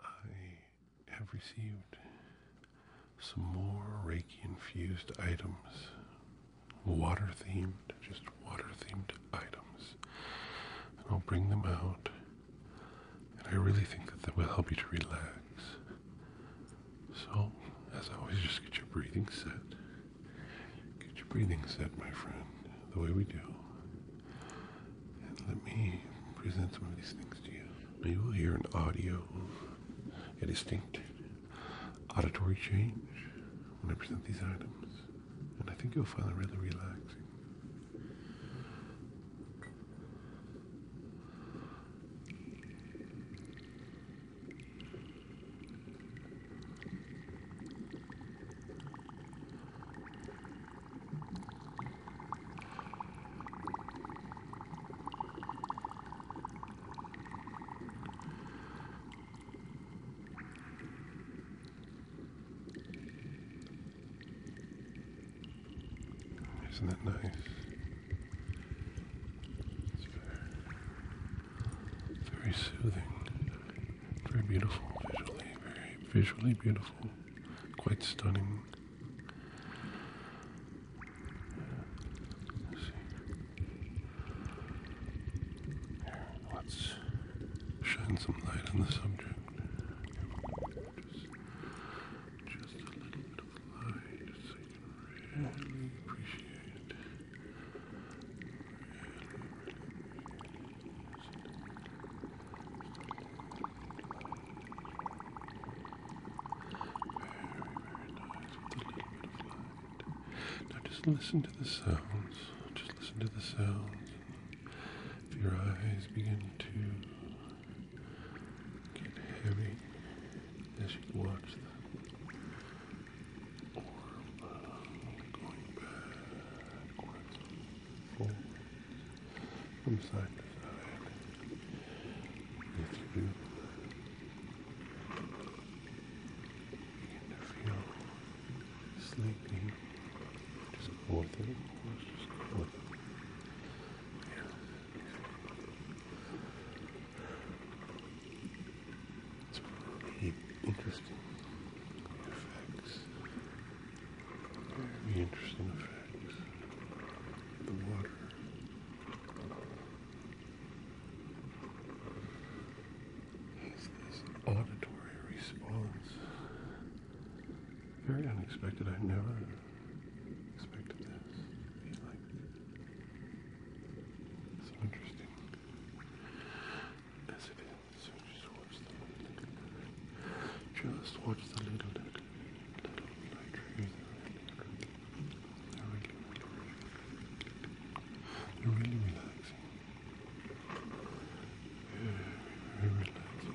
I have received some more Reiki infused items, water themed, just water themed items. And I'll bring them out. And I really think that that will help you to relax. So, as always, just get your breathing set. Get your breathing set, my friend, the way we do let me present some of these things to you. you will hear an audio, a distinct auditory change when I present these items. And I think you'll find them really relaxing. Isn't that nice? It's very, very soothing. Very beautiful visually, very visually beautiful, quite stunning. Let's shine some light on the subject. Just, a little bit of light so you can really appreciate nice. Now just listen to the sounds. Just listen to the sounds. If your eyes begin to get heavy as you watch them. Or uh, going back from side to side. If you begin to feel sleepy, just go with it, of just go It's really interesting very interesting effects. The water. It's this auditory response. Very unexpected. I never expected this. Like it's interesting as it is just watch the just little little little light triggers. They're really, relaxing. Very, very relaxing. Just watch the little.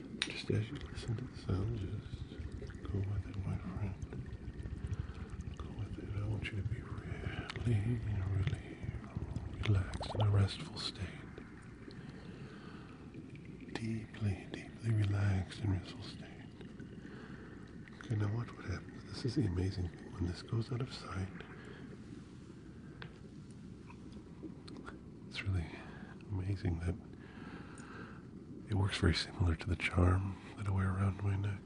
Just as you listen to the sound, just go with it, my friend. Go with it. I want you to be really, really relaxed in a restful state. Deeply, deeply relaxed in restful state. Okay, now watch what happens. This is the amazing thing. When this goes out of sight, it's really amazing that it works very similar to the charm that I wear around my neck.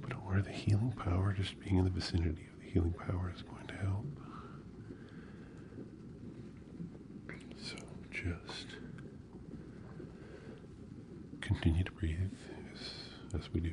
But I aware the healing power, just being in the vicinity of the healing power is going to help. So just continue to breathe as we do.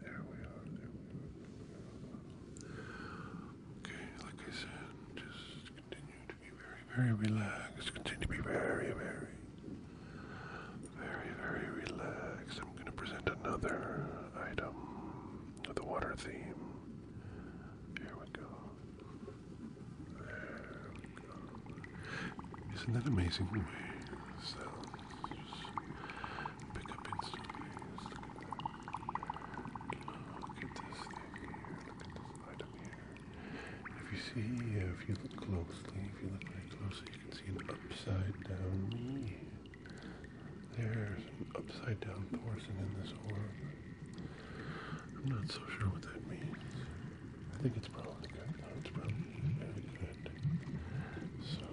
There we are. There we are. Okay, like I said, just continue to be very, very relaxed. Continue to be very, very, very, very relaxed. I'm going to present another item of the water theme. Here we go. There Isn't that amazing the pick up instantly. Look at this thing here. Look at this item here. If you see, if you look closely, if you look very closely, you can see an upside down me. There's an upside down torsion in this orb. I'm not so sure what that means. I think it's probably good. it's probably very good. So,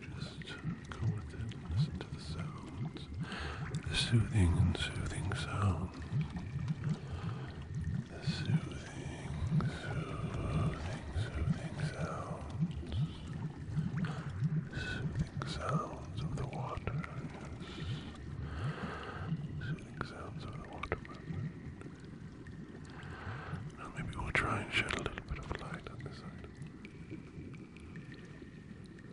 just go with it and listen to the sound the soothing and soothing sounds, the soothing, soothing, soothing sounds, soothing sounds of the water, soothing sounds of the water Now maybe we'll try and shed a little bit of light on this side.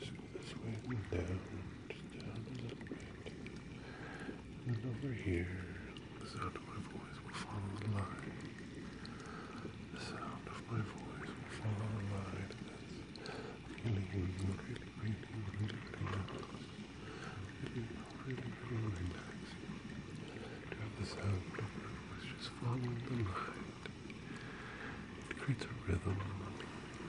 Just swing down, just down a little bit. And over here, the sound of my voice will follow the line. The sound of my voice will follow the line. That's really, really, really, really, really, really, really, really, really relaxing. To have the sound of my voice just follow the line. It creates a rhythm.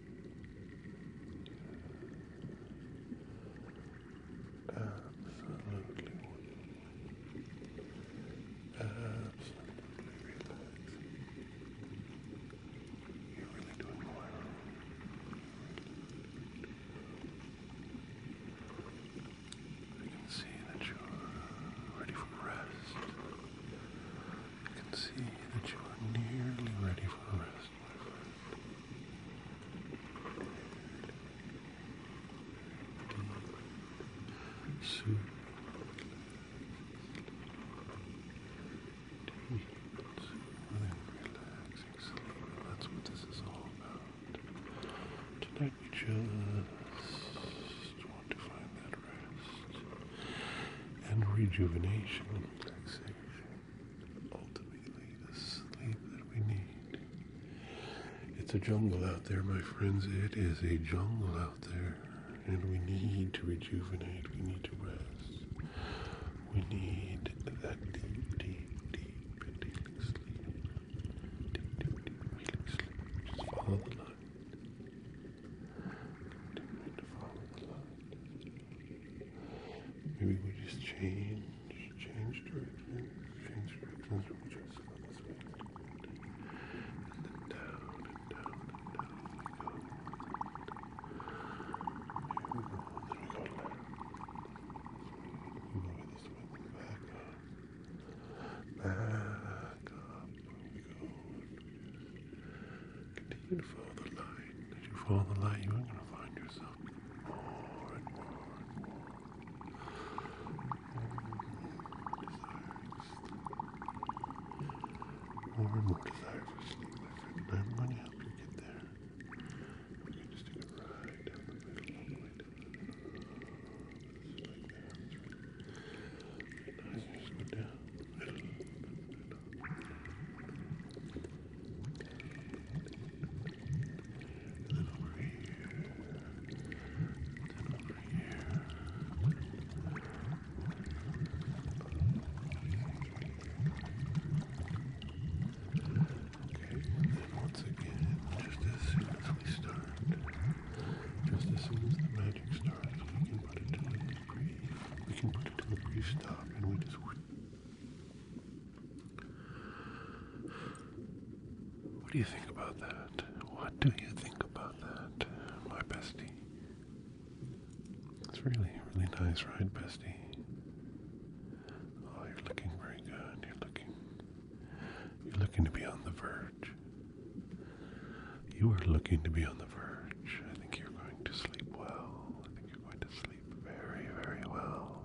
Absolutely Absolutely relaxing. You're really doing well. I can see that you're ready for rest. I can see that you are nearly ready for rest. Soup. Relaxing sleep. That's what this is all about. Tonight we just want to find that rest and rejuvenation and relaxation ultimately the sleep that we need. It's a jungle out there, my friends. It is a jungle out there. And we need to rejuvenate. We need to rest. We need that deep, deep, deep, deep sleep. Deep, deep, deep, healing sleep. Just follow the light. Continue to follow the light. Maybe we just change, change direction, change direction. We'll go this way. And then down and down and down we go. Here we go. There we go. this way. Back up. Back up. we go. Continue to follow the light. As you follow the light, you are going to find yourself more and more and more. More and more desire for sleep, my friend, and I'm going to help you get there. You can just take a ride down the middle all the way down the middle. Just like that. That's right. And now you go down then over here, then over here. Okay, and once again, just as soon as we start, just as soon as the magic starts, we can put it to the brief, we can put it to the brief stop, and we just. Whoosh, what do you think about that? What do you think about that, my bestie? It's really, really nice, ride, bestie? Oh, you're looking very good. You're looking, you're looking to be on the verge. You are looking to be on the verge. I think you're going to sleep well. You're going to sleep very, very well.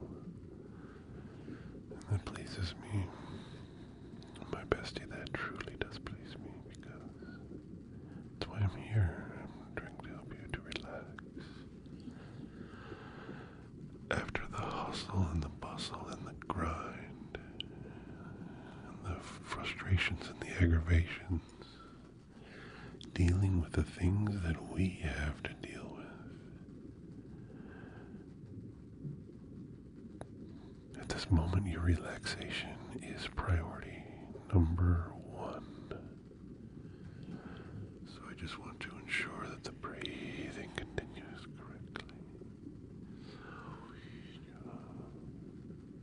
And that pleases me. My bestie, that truly does please me because that's why I'm here. trying to help you to relax. After the hustle and the bustle and the grind and the frustrations and the aggravations dealing with the things that we have to deal with. At this moment, your relaxation is priority number one. So I just want to ensure that the breathing continues correctly.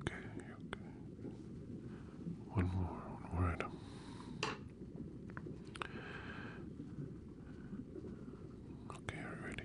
Okay, okay. One more, one more item. Okay, are you ready?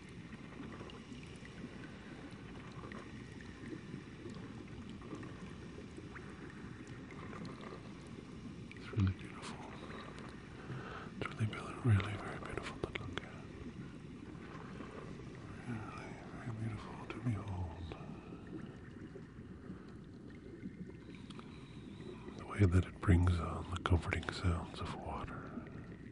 It's really beautiful. It's really, really, very beautiful to Really, very beautiful to behold. The way that it brings on the comforting sounds of water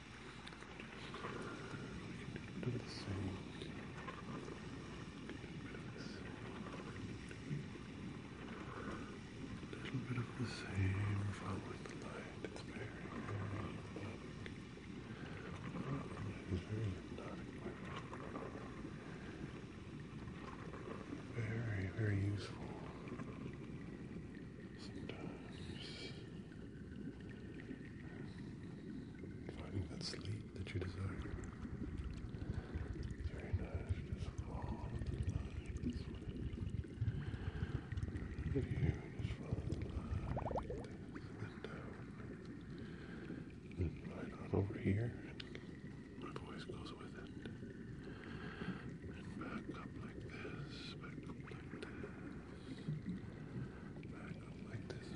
Get rid of of the sand. A little bit of the same. Follow the light. It's very, very Very, very useful. Sometimes. Finding that sleep that you desire. Very nice. Just follow the light over here. my voice goes with it. And back up like this. Back up like this. Back up like this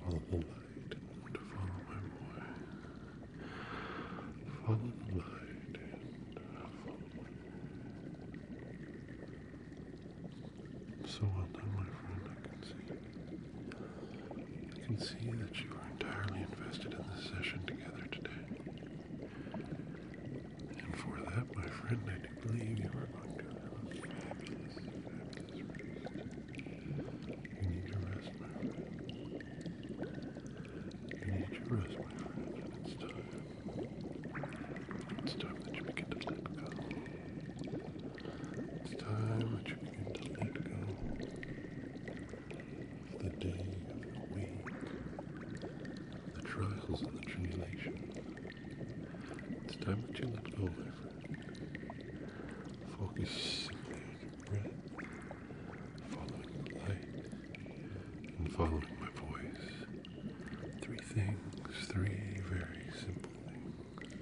Follow the light and follow my boy. Follow the light and follow So well done, my friend, I can see. I can see that you are entirely invested in this session together today. And for that, my friend, I do believe you are going to have a fabulous, fabulous rest. You need to rest, my friend. You need to rest, my friend, it's time. It's time that you begin to let go. It's time that you begin to let go the day, the week, the trials and the tribulations. It's time that you let go, my friend. Focus simply on your breath, following the light, and following my voice. Three things, three very simple things.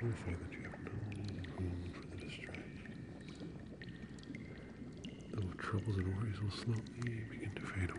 Verify that you have no room for the distractions. Little troubles and worries will slowly begin to fade away.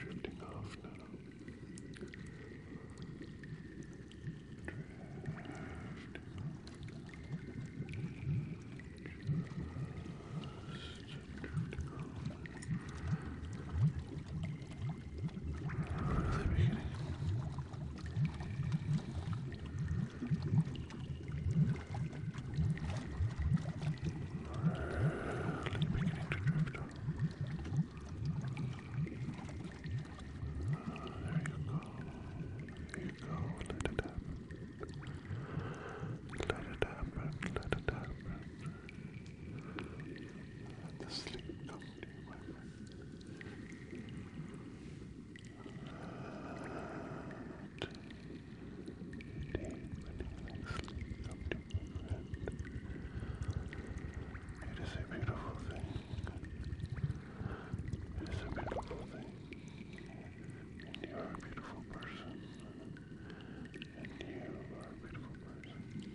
Drifting off now. Drifting the beginning. Really beginning to drift off. Oh, there you go. There you go. Let it happen. Let it happen, let it happen. Let the sleep come to you, my friend. Let the evening sleep come It is a beautiful thing. It is a beautiful thing. you are a beautiful person. And you are a beautiful person.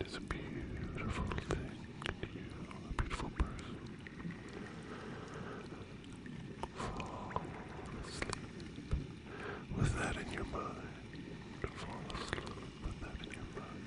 It is a beautiful thing. You are a beautiful person. Fall asleep with that in your mind. Fall asleep with that in your mind.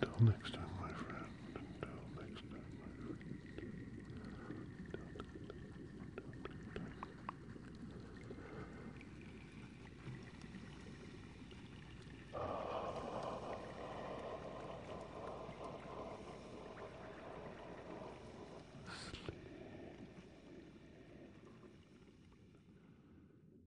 Until next time, my friend. Until next time, my friend. Sleep.